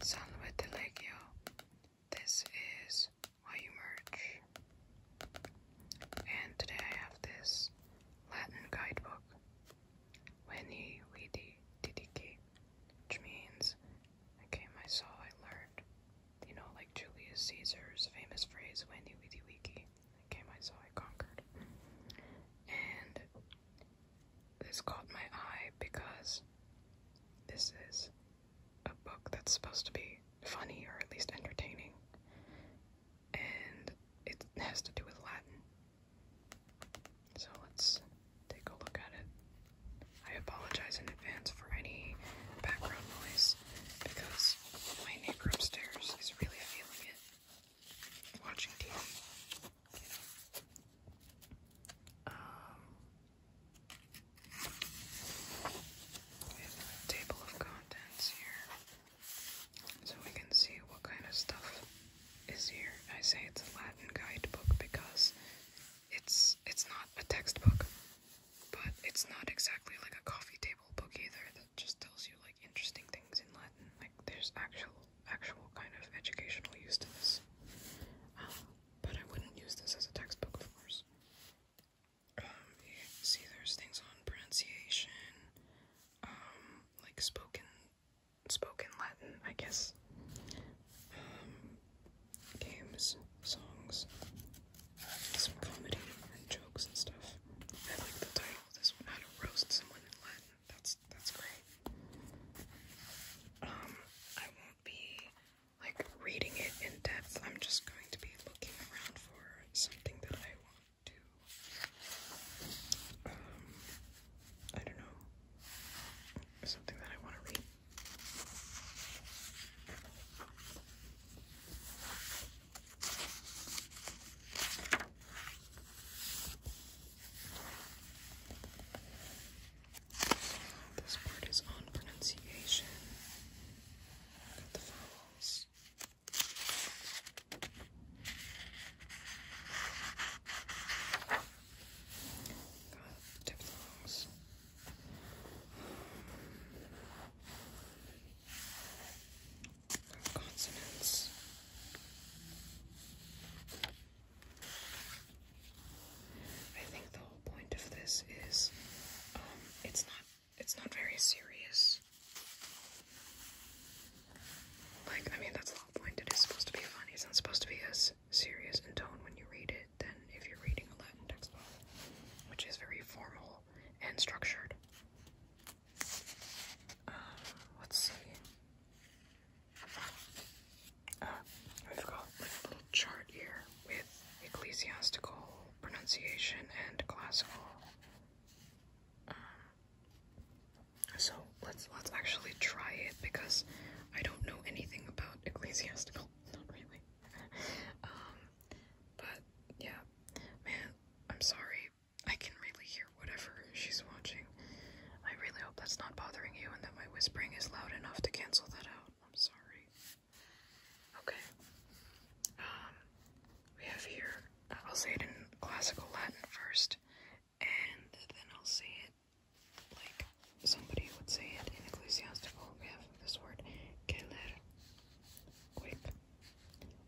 San Vitellegio. This is why you merge. And today I have this Latin guidebook, Veni Vidi Didici, which means I came, I saw, I learned. You know, like Julius Caesar's famous phrase, Veni Vidi Vici, I came, I saw, I conquered. And this caught my eye because this is a book that's supposed to be funny or at least entertaining, and it has to do with Latin. So let's take a look at it. I apologize in advance for any background noise because my neighbor upstairs is really feeling it watching TV. Um, table of contents here, so we can see what kind of stuff is here. I say it's a Latin guidebook because it's it's not a textbook, but it's not exactly like a coffee table book either. That just tells you like interesting things in Latin. Like there's actual actual kind of educational use to this. Um, but I wouldn't use this as a textbook, of course. Um, see, there's things on pronunciation, um, like spoken, spoken Latin, I guess. games, songs, some comedy and jokes and stuff. I like the title. of This one, how to roast someone in Latin. That's that's great. Um, I won't be like reading it in depth. I'm just going to be looking around for something that I want to. Um, I don't know. Something that I want to read. This part is on pronunciation. the vowels. consonants. I think the whole point of this is um, it's not it's not very serious. Like, I mean, that's the whole point. It is supposed to be funny. It's not supposed to be as serious in tone when you read it than if you're reading a Latin textbook, which is very formal and structured. Uh, let's see. Uh, have got a little chart here with ecclesiastical pronunciation and classical. Um, so let's let's actually try it because I don't know anything about ecclesiastical, not really. um, but yeah, man, I'm sorry. I can really whatever she's watching. I really hope that's not bothering you and that my whispering is loud enough to cancel that out. I'm sorry. Okay. Um, we have here, uh, I'll say it in classical Latin first, and then I'll say it like somebody would say it in ecclesiastical. We have this word, keller, quick.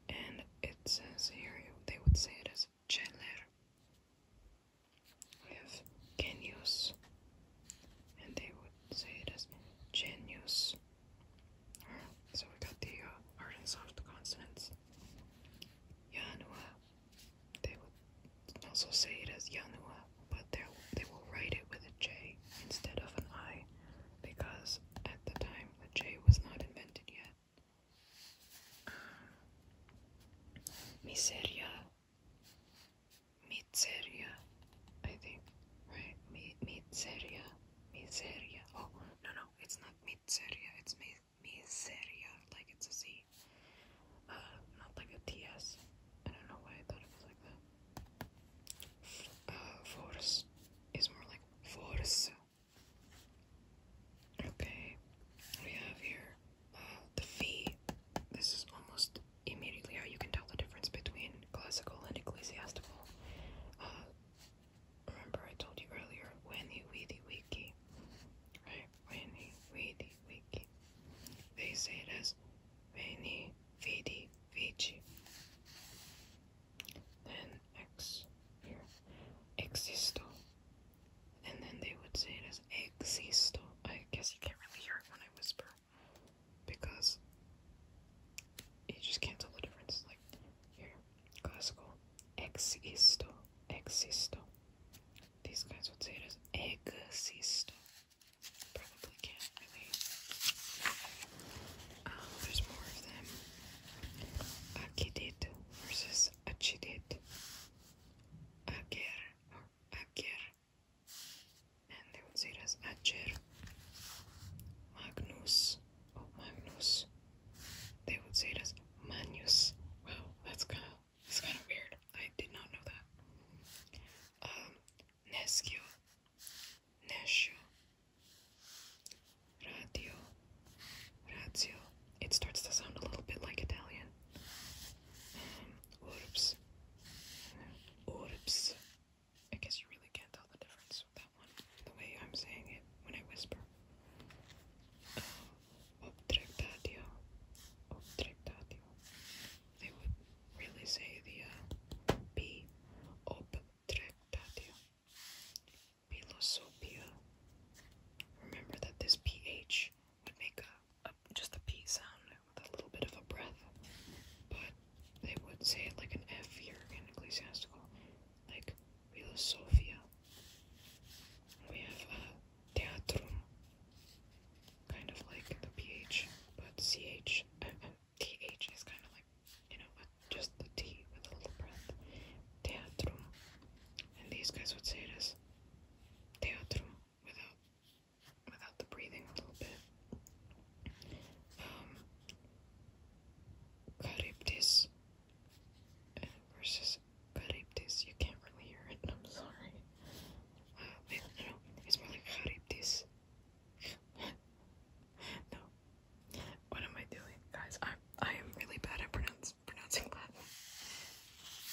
And it says here, they would say it as Chandler. We have Genius, and they would say it as Genius. so we got the hard uh, and soft consonants. Yanua, they would also say it as Yanua, but they will write it with a J instead of an I because at the time the J was not invented yet. Miseria. Miseria. I think. Right? Mi miseria. Miseria. Oh, no, no. It's not miseria. It's mi miseria. Like it's a Z. Uh, not like a don't know why I thought it was like that. Uh, force is more like force. Okay, we have here the fee. This is almost immediately how you can tell the difference between classical and ecclesiastical. Uh, remember, I told you earlier, Winnie Weedy Wiki, right? Winnie Weedy Wiki. They say it as Winnie Weedy Vici. Then X here. Existo and then they would say it as existo. I guess you can't really hear it when I whisper because you just can't tell the difference. Like here, classical existo, existo. These guys would say it as existo. Probably can't really. Um, there's more of them. Akidit versus achidit. Ager or and they would say it as Acher. Magnus or oh, Magnus, they would say it as Manus. Wow, that's kind of it's kind of weird. I did not know that. Um, Neskio, Nesho, Radio, it starts to sound a little bit like Italian. Orbs. Orbs. I guess you really can't tell the difference with that one, the way I'm saying it when I whisper. Obtractatio. Uh, They would really say the uh, B. Obtractatio. Remember that this PH would make a a, just a P sound with a little bit of a breath, but they would say it like an F here in ecclesiastical. Like we have Sophia, we have uh, Theatrum, kind of like the PH, but CH, uh, TH uh, is kind of like, you know, a, uh, just the T with a little breath. Theatrum. And these guys would say it as Theatrum without without the breathing a little bit. Um, uh, versus Charybdis. You can't really hear it. I'm sorry. Uh, wait, it's more like Charybdis. no, what am I doing, guys? I I am really bad at pronouncing pronouncing Latin.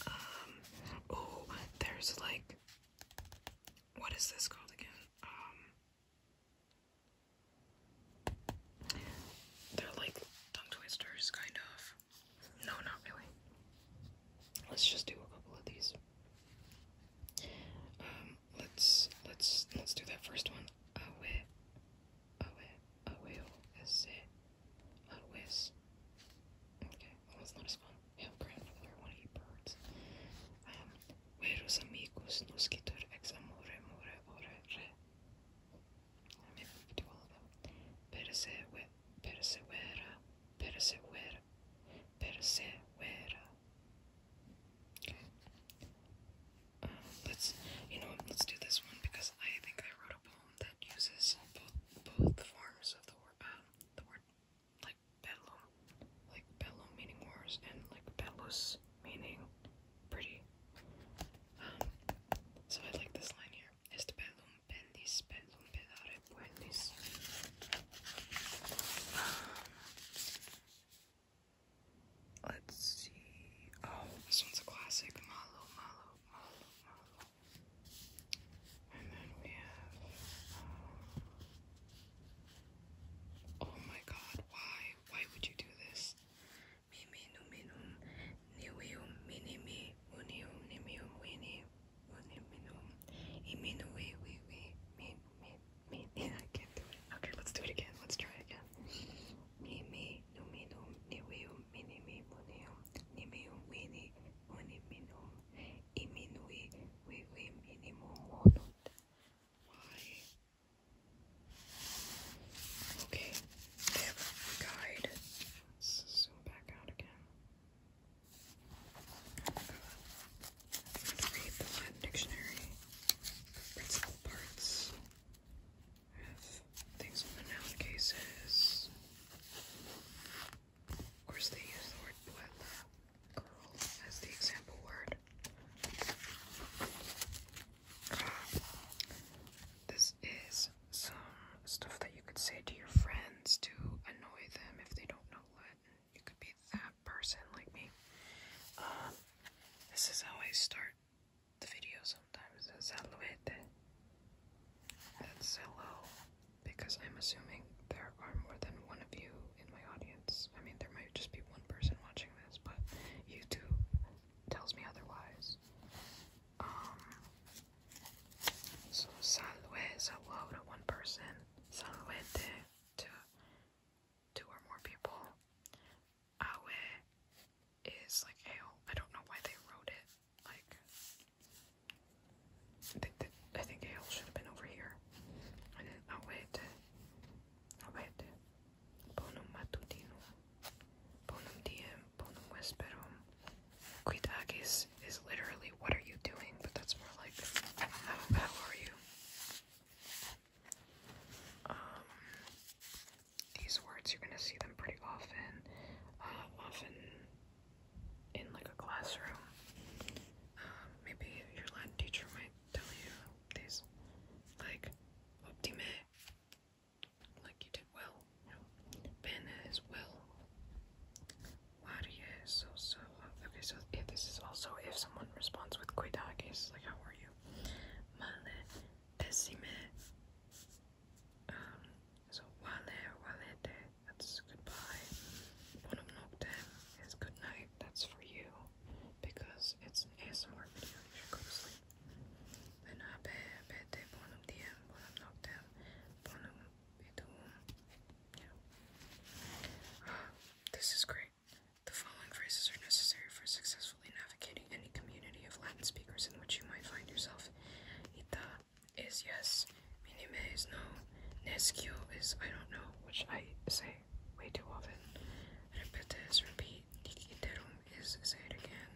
Um, oh, there's like, what is this called again? Um, they're like tongue twisters, kind of. No, not really. Let's just do a couple of these. Um, let's let's let's do that first one. Awe, awe, aweo, ese, Always. Okay, that not as fun. have grandmother, one of you birds. Um, Veros amigos nos quitar ex amore, more, ore, re. Yeah, maybe we could do all of them. Persevera, persevera, persevera, persevera. Okay. Um, let's, you know, let's do this one because I think I wrote a poem that uses both forms of the word, uh, the word like bedlam, like bedlam meaning wars, and like bedlus meaning pretty. Um, so I like this line here. Este bedlam bendis, bedlam pedare um, Let's see. Oh, this one's a classic. Malo, malo, malo, malo, and then we have. Um, oh my god, why? Why would you do this? Mimi numinum niwium minimi unium nimium wini uniminum iminui we we me me me yeah I can't do it. Okay, let's do it again. Let's try it again. Mimi numinum niwium minimi unium nimium wini oni minum iminui vivi minimum monunt. Why? Okay, I have a guide. Let's zoom back out again. Uh, I'm going to read the Latin dictionary principal parts. I have things on the noun cases, of course, they use the word puebla, girl, as the example word. this is some stuff that you could say to your friends to annoy them if they don't know Latin. You could be that person like me. Um, this is how I start the video sometimes. Salvete. That's hello, because I'm assuming there are more than one of you in my audience. I mean, there might just be one person watching this, but YouTube tells me otherwise. Um, so salve, hello to one person, salvete to two or more people. Awe is like hail. I don't know why they wrote it like, I think that I think Hale should have been over here. I didn't. I'll wait. I'll wait. Bonum matutino. Bonum diem. Bonum vesperum. Quid agis is literally what are you doing, but that's more like how, are you? Um, these words you're gonna see them pretty often. Uh, often in like a classroom. Um, maybe your Latin teacher might tell you these, like optime, like you did well. You know, bene as well. Laria is also okay. So if this is also if someone responds with cuidagis, like how are you? Male, decime. Um, so, wale, walete, that's goodbye. One Noctem is good night, that's for you because it's ASMR video, you should go sleep. Then I bonum diem, bonum noctem, bonum idum. this is great. The following phrases are necessary for successfully navigating any community of Latin speakers in which you might find yourself. Ita is yes, minime is no, nescio is I don't know, which I say way too often. Repete is repeat, diciterum is say again,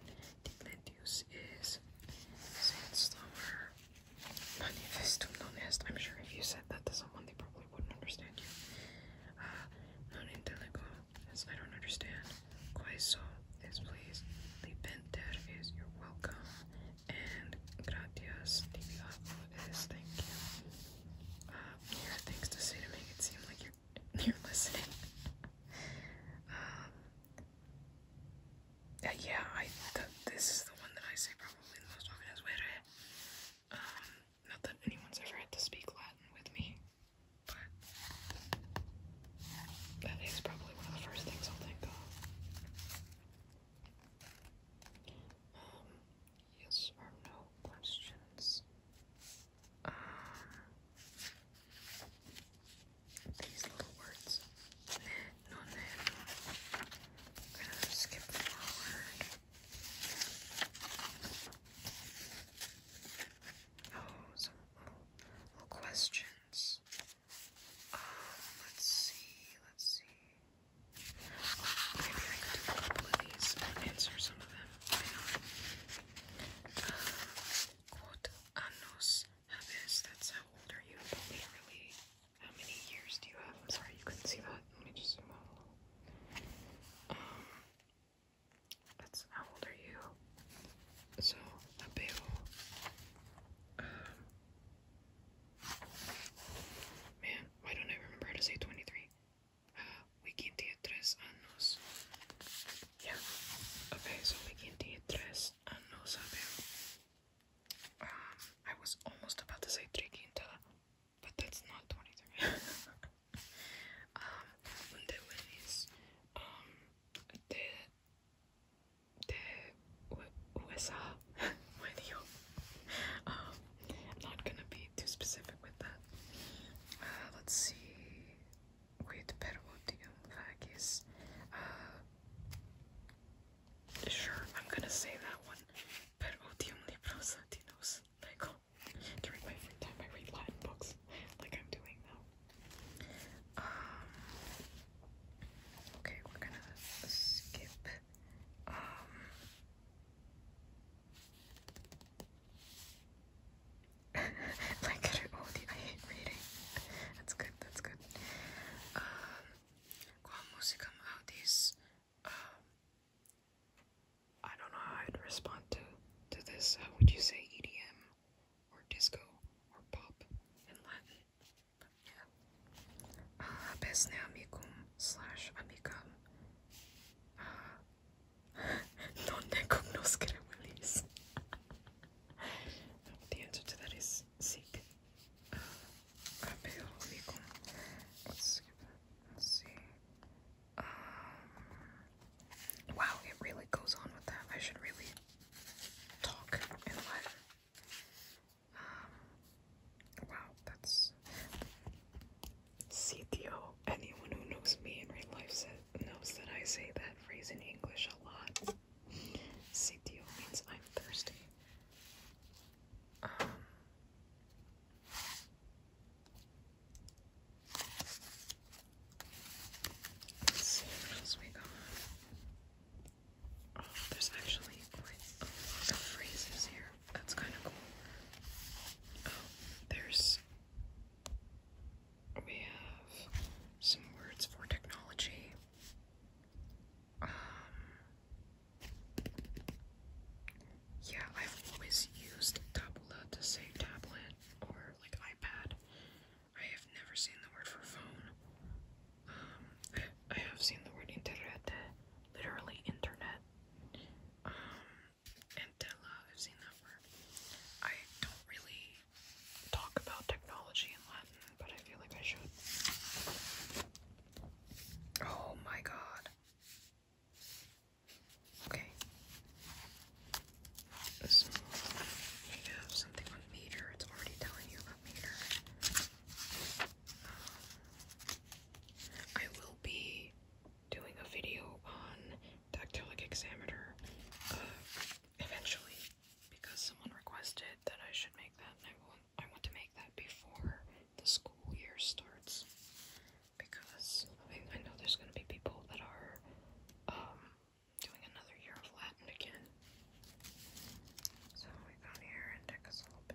dicletius is say it slower, manifestum non est. I'm sure if you said that to someone, they probably wouldn't understand you. Uh, non intelligo is I don't understand, quaeso is please, libenter is you're welcome, and gratias tibia thank you. you um, have things to say to make it seem like you're you're listening. um, uh, yeah, I this is the one that I say probably the most often is "were." Um, not that anyone's ever had to speak Latin with me, but that is probably one of the first things i think of. Um, yes or no questions. Um, these little words. No, no. i gonna skip forward. Oh, some little questions let's see, let's see. maybe I could do a couple of these answer some of them. Hang on. Uh, what anos how old are you? But how many years do you have? I'm sorry, you couldn't see that. Let me just zoom out a little. Um, that's how old are you? So, habeo. Um, Man, why don't I remember how to say 23? Uh, Wiki tres años. Yeah. Okay, so Wiki tiene tres años, ah, I was almost about to say Triquinta, but that's not 23. um, un the USA video. Um, not gonna be too specific with that. Uh, let's see. Wait, Perodium Vagis. Uh, sure, I'm gonna say that one. Perodium Libros Latinos. Like, oh, during my free time, I read Latin books like I'm doing now. Um, okay, we're gonna skip um, my good at all I hate reading. That's good, that's good. Um, qual música me audis? Um, I don't know how I'd respond to, to this. How would you say EDM or disco or pop in Latin? best now amicum slash amicum. Uh, non ne cognoscere the answer to that is seek. wow, it really goes on with that. I should really talk in Latin wow, that's CTO. Anyone who knows me in real life said, knows that I say that phrase in English a lot. CTO means I'm thirsty. Um, let's see what else we got. There's actually a lot of phrases here. That's kind of cool. Oh, there's. We have some words for technology. Um. Yeah, I've always used tabula to say tablet or like iPad. I have never seen the word for phone. Um, I have seen the word internet, literally internet. Um, and tela, I've seen that word. I don't really talk about technology in Latin, but I feel like I should. Oh my god. Okay. we have something on meter. It's already telling you about meter. Um, I will be doing a video on dactylic examiner uh, eventually because someone requested that I should make that and I want I want to make that before the school year starts because I, I know there's gonna be people that are um, doing another year of Latin again. So we got here and took us a little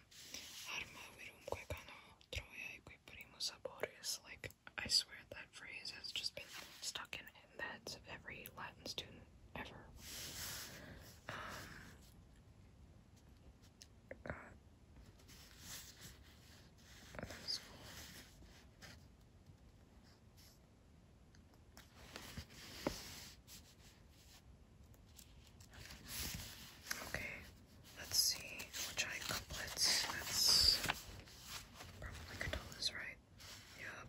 Armavirumque cano troia equiprimus aboris. Like, I swear that phrase has just been stuck in, the heads of every Latin student ever. Um, cool. Okay, Let's see, which i couplets? That's probably Catullus, right? Yep.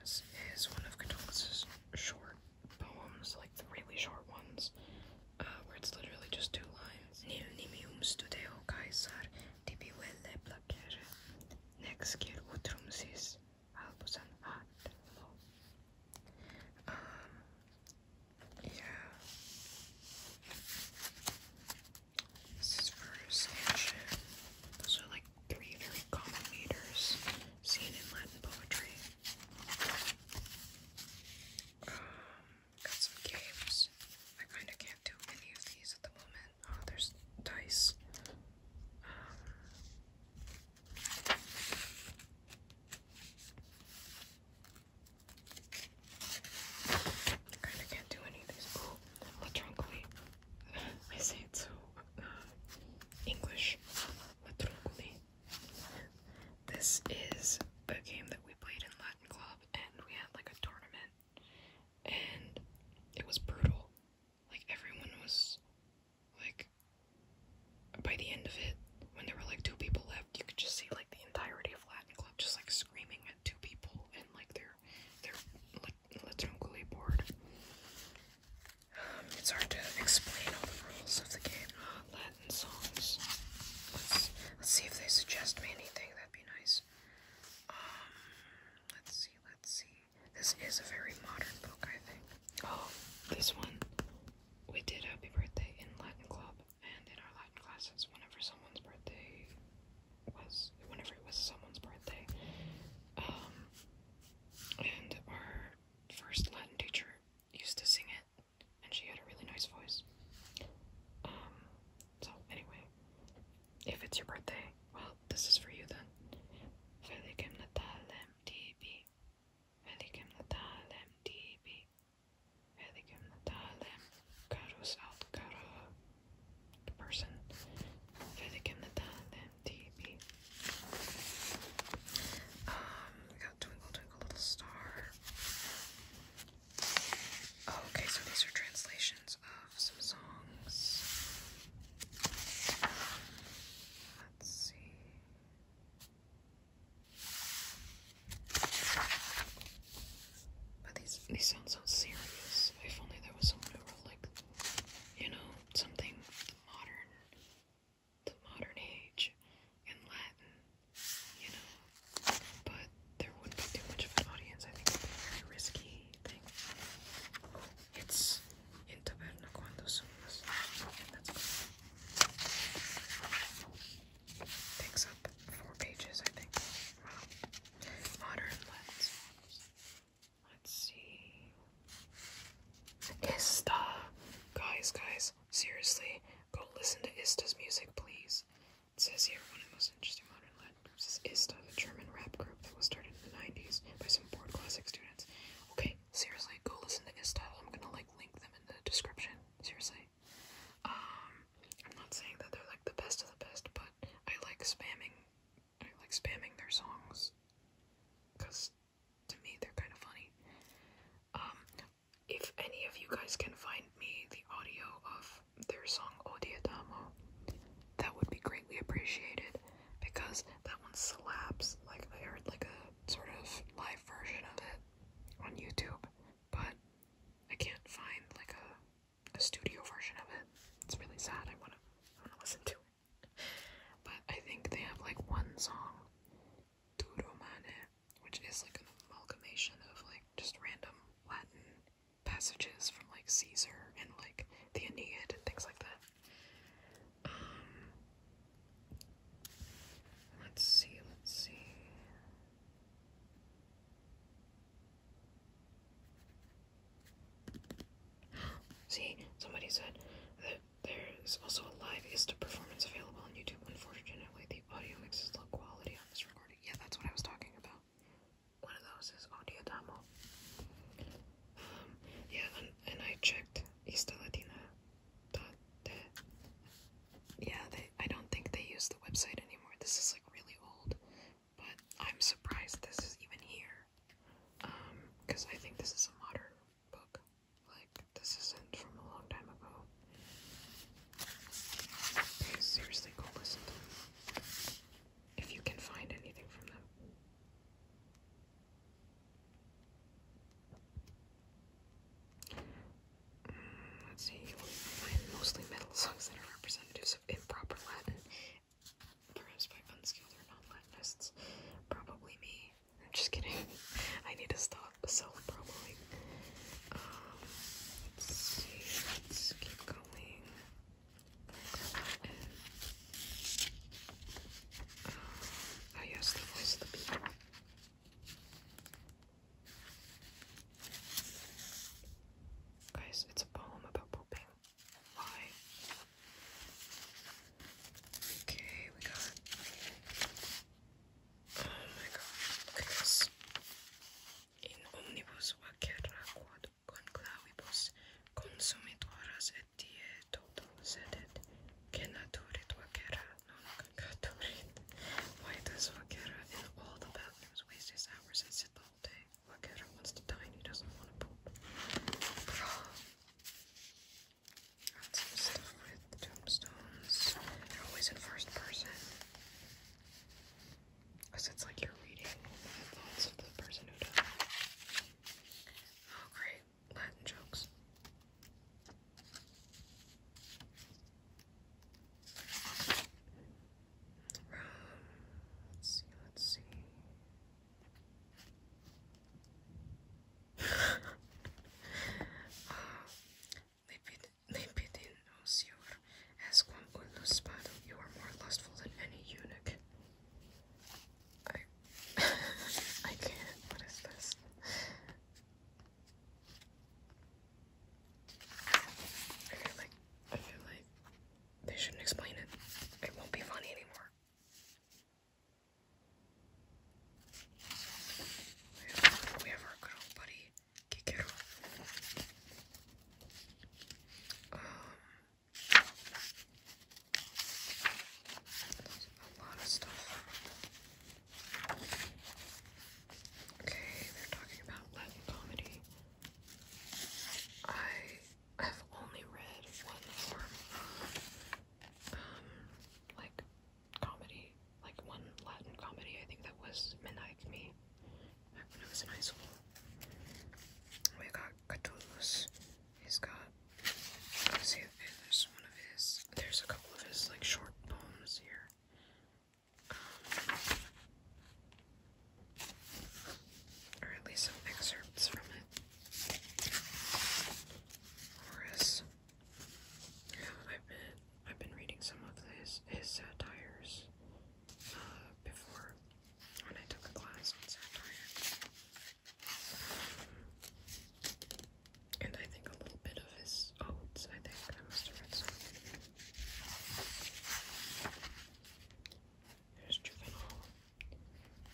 This is one of Catullus's short poems, like the really short ones, uh, where it's literally just two lines. Nimium studio Caesar tibi velle placere, nec utrum sis. I'll put some yeah. This is for Those are like three very common meters seen in Latin poetry. Um, got some games. I kind of can't do any of these at the moment. Oh, there's dice. Um, Kinda can't do any of these. Ooh, I say it so uh, English. Matroncoli. This is a game that we played in Latin Club, and we had like a tournament, and it was brutal. Like everyone was like by the end of it, when there were like two people left, you could just see like the entirety of Latin Club just like screaming at two people and like they're like literally bored. it's hard to explain all the rules of the game. Latin songs. Let's let's see if they suggest me anything. That'd be nice. Um, let's see, let's see. This is a very modern book, I think. Oh, this one. We did Happy Birthday in Latin Club and in our Latin classes whenever someone's birthday was, whenever it was someone's birthday. Um, and our first Latin teacher used to sing it and she had a really nice voice. Um, so anyway, if it's your birthday, well, this is for you then. Feliz Natal, MTB. Velikém DB Velikém Natálem Karus out Karo the person Velikém Natálem DB Um we got Twinkle Twinkle Little Star oh, okay so these are translations of some songs let's see but these these sound so serious. If only there was someone who wrote like you know, something modern the modern age in Latin, you know. But there wouldn't be too much of an audience. I think it'd be a very risky thing. It's in cuando sumas Takes up four pages, I think. Wow. Modern let's let's see. Ista guys, guys, seriously, go listen to Ista's music, please. It says here one of the most interesting modern Latin groups is Ista, the German rap group that was started in the 90s by some bored classic students. Okay, seriously, go listen to Ista. I'm gonna like link them in the description seriously. Um, I'm not saying that they're like the best of the best, but I like spamming, I like spamming their songs, cause to me they're kind of funny. Um, if any of you guys can find me the audio of their song Odiadamo, that would be greatly appreciated because that one slaps. Like I heard like a sort of live version of it on YouTube, but I can't find like a, a studio version of it. It's really sad. I wanna I wanna listen to it. But I think they have like one song, Duromane, which is like an amalgamation of like just random Latin passages from like Caesar and like the Aeneid and things like that. Um, Let's see, let's see. see, somebody said that there's also a live ISTA performance available on YouTube. Unfortunately, the audio mix is low quality on this recording. Yeah, that's what I was talking about. One of those is Audio Damo. Um, yeah, and, I checked ISTA Latina yeah, they, I don't think they use the website anymore. This is like really old, but I'm surprised this is even here. Um, because I think this is a modern book. Like, this isn't from a long time ago. Okay, seriously, go listen to them. If you can find anything from them let's see, find mostly metal songs that are representatives of improper Latin, perhaps by unskilled or non-Latinists. Probably me. I'm just kidding. I need to stop self-probably. Um, let's see. Let's keep going. Latin. Uh, um, oh yes, the voice of the people. Guys, it's a poem about pooping. Why? Okay, we got. Oh my god, guys. In omnibus vaquera quod conclavibus consumidoras et die totum sedet, genaturituacera Oh don't read. Why does Wakera in all the bathrooms waste his hours and sit the whole day? Wakera wants to die and he doesn't want to poop. Got some stuff with tombstones. They're always in first person. Because it's like you're reading the thoughts of the person who died. Oh, great. Latin jokes let's see, let's see. ah, Lepidin, O Sior, Asquam you are more lustful than any eunuch. I, I can't. What is this? I feel like I feel like they shouldn't explain it. It won't be funny anymore. We have, our good old buddy um, a lot of stuff. Okay, they're talking about Latin comedy. I have only read one form um like comedy, like one Latin comedy. I think that was Midnight Me when I was in high school. We got Catullus. He's got see there's one of his there's a couple of his like short poems here or at least some excerpts from it. Horace, I've been I've been reading some of his his satires uh, before when I took a class on satire. And I think a little bit of his oats, I think. I must have read some. There's Juvenal.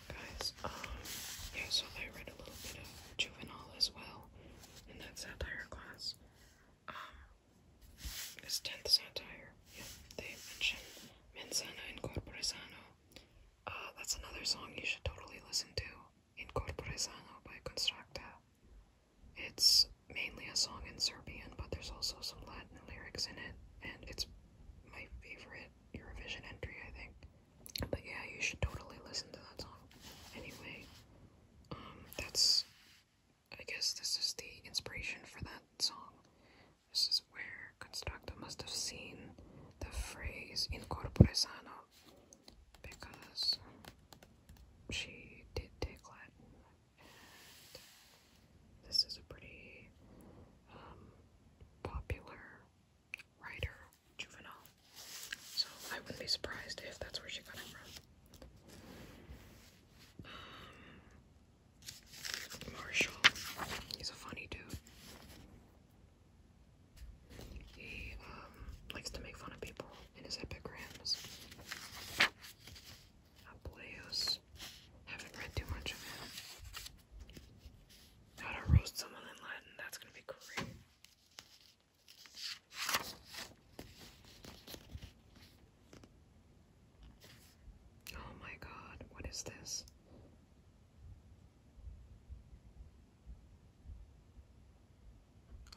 Guys, um, yeah, so I read a little bit of Juvenal as well in that satire class. Um, it's 10th satire. Yeah, they mentioned Menzana and Corporezano. Uh, that's another song you should totally listen to in by Constructa. It's mainly a song in Serbian, but there's also some Latin lyrics in it, and it's my favorite Eurovision entry, I think. But yeah, you should totally listen to that song. Anyway, um, that's. I guess this is the inspiration for that song. This is where Constructa must have seen the phrase in Corporezano because she did take Latin, and this is a pretty um, popular writer, juvenile, So I wouldn't be surprised if that's where she got it from. Um, Marshall, he's a funny dude. He um, likes to make fun of people in his epigrams. Apuleius. Haven't read too much of it. How to roast someone in Latin. That's going to be great. Oh my god, what is this?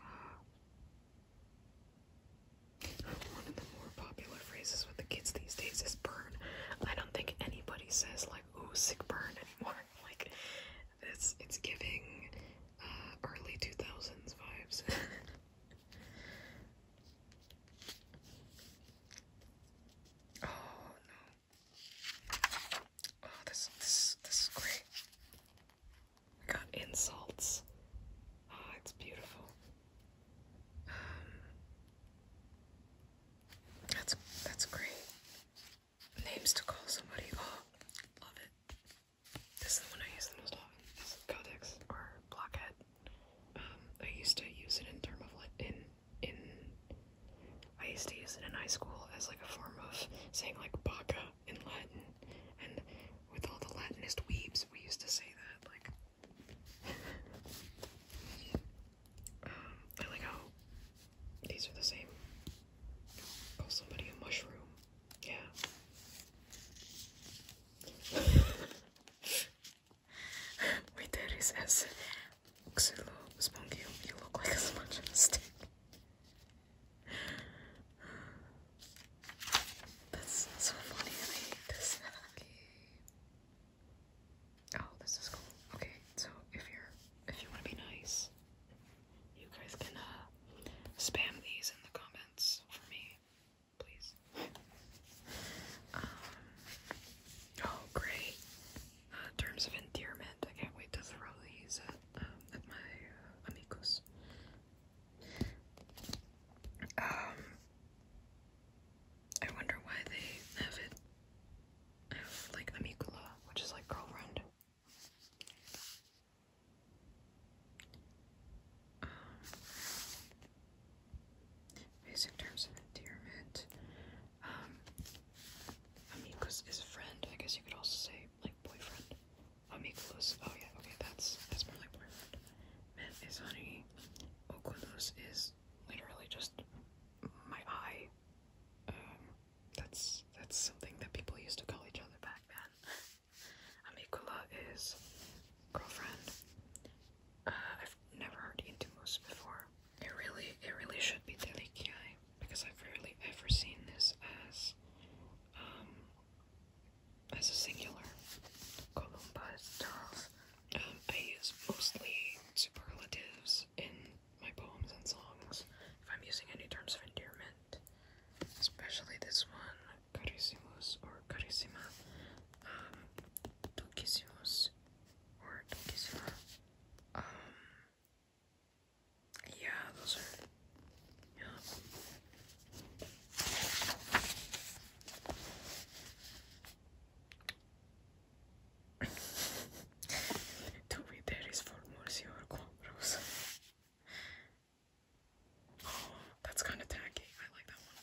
Ah. One of the more popular phrases with the kids these days is burn. I don't think anybody says like ooh sick burn anymore. Like it's it's giving uh, early two thousands vibes. oh no. Oh this this this is great. I got insults. Ah, it's beautiful. Um, that's that's great. Names to call somebody. Oh, love it. This is the one I use the most often. Codex or Blockhead. Um, I used to use it in term of like in in. I used to use it in high school as like a form of saying like baka in Latin, and with all the Latinist weebs, we used to say that, like, um, like how these are the same. Call oh, somebody a mushroom. Yeah. Wait, that is as Xylo Spunky. You look like a sponge that's so funny. I hate this. Okay. Oh, this is cool. Okay, so if you're if you want to be nice, you guys can uh, spam these in the comments for me, please. um. Oh, great. Uh, terms of endearment. I can't wait to thoroughly use um, at my uh, amigos. Um, I wonder why they have it. like amicula, which is like girlfriend. Um, terms of endearment. Um, amicus is friend. I guess you could also say like boyfriend. Amigos. Oh yeah, okay, that's that's more like boyfriend. Mint is honey. Oculus is literally just my eye. Um, that's that's something that people used to call each other back then. Amicula is girlfriend. Uh, I've never heard Intimus before. It really, it really should be Delikiai because I've rarely ever seen this as um, as a singular. Columbus, um, I use mostly superlatives in my poems and songs if I'm using any terms of endearment, especially this one, carissimus or carissima, um, or ducissima. Um, yeah, those are Tu Viteris formos your compros. Oh, that's kind of tacky. I like that one.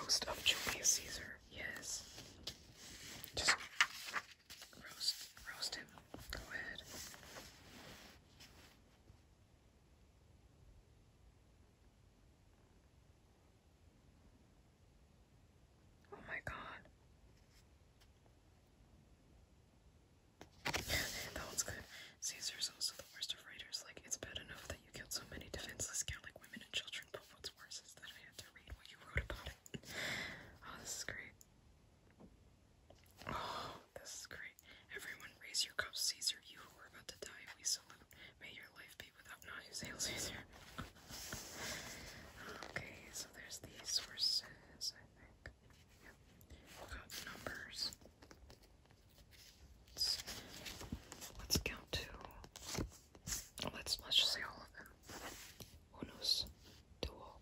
Roast of Julius Caesar. Yes. Just roast, roast him. Go ahead. Oh my god. that one's good. Caesar's also the worst of writers. Like, it's bad enough that you killed so many defenseless Gallic women and children, but what's worse is that I had to read what you wrote about it. oh, this is great. Oh, this is great. Everyone raise your cups, Caesar. You who are about to die, we salute. May your life be without knives, Hail Caesar. okay, so there's the sources, I think. Yep. Got numbers. Let's, count to let's let's just say all of them. Unos, duo,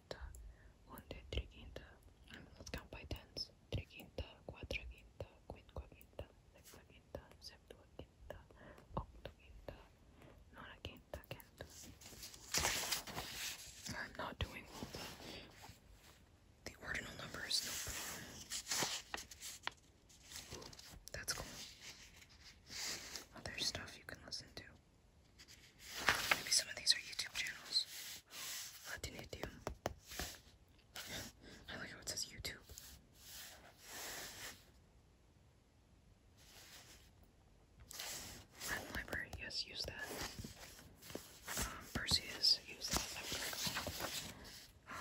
quinta, unde, triquinta, am cam by tens, triquinta, quadraquinta, quinquaquinta, sexaquinta, septuaquinta, octoquinta, nonaquinta, quinta. I'm not doing all the, the ordinal numbers, no problem. Ooh, that's cool. Other stuff you can listen to. Maybe some of these are YouTube channels. Latinitium. I like how it says YouTube. library, yes, use that. Um, Perseus, use that. Um,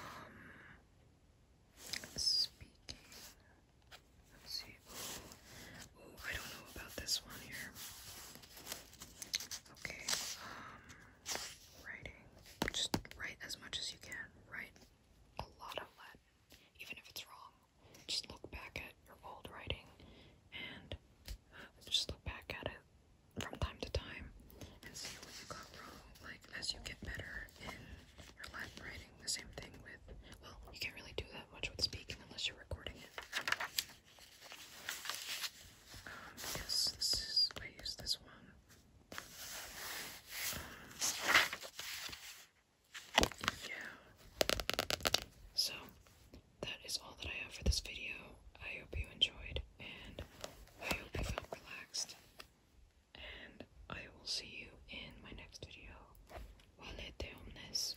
speaking, let's see. I don't know about this one here. Okay, um, writing. Just write as much as you can. Write a lot of Latin, even if it's wrong. Just look back at your old writing and uh, just look back at it from time to time and see what you got wrong. Like, as you get better in your Latin writing, the same thing with, well, you can't really do that much with speaking unless you're recording it. Um, this is, I use this one. Um, yeah. So, that is all that I have for this video. I hope you enjoyed, and I hope you felt relaxed. And I will see you in my next video. Walete omnes.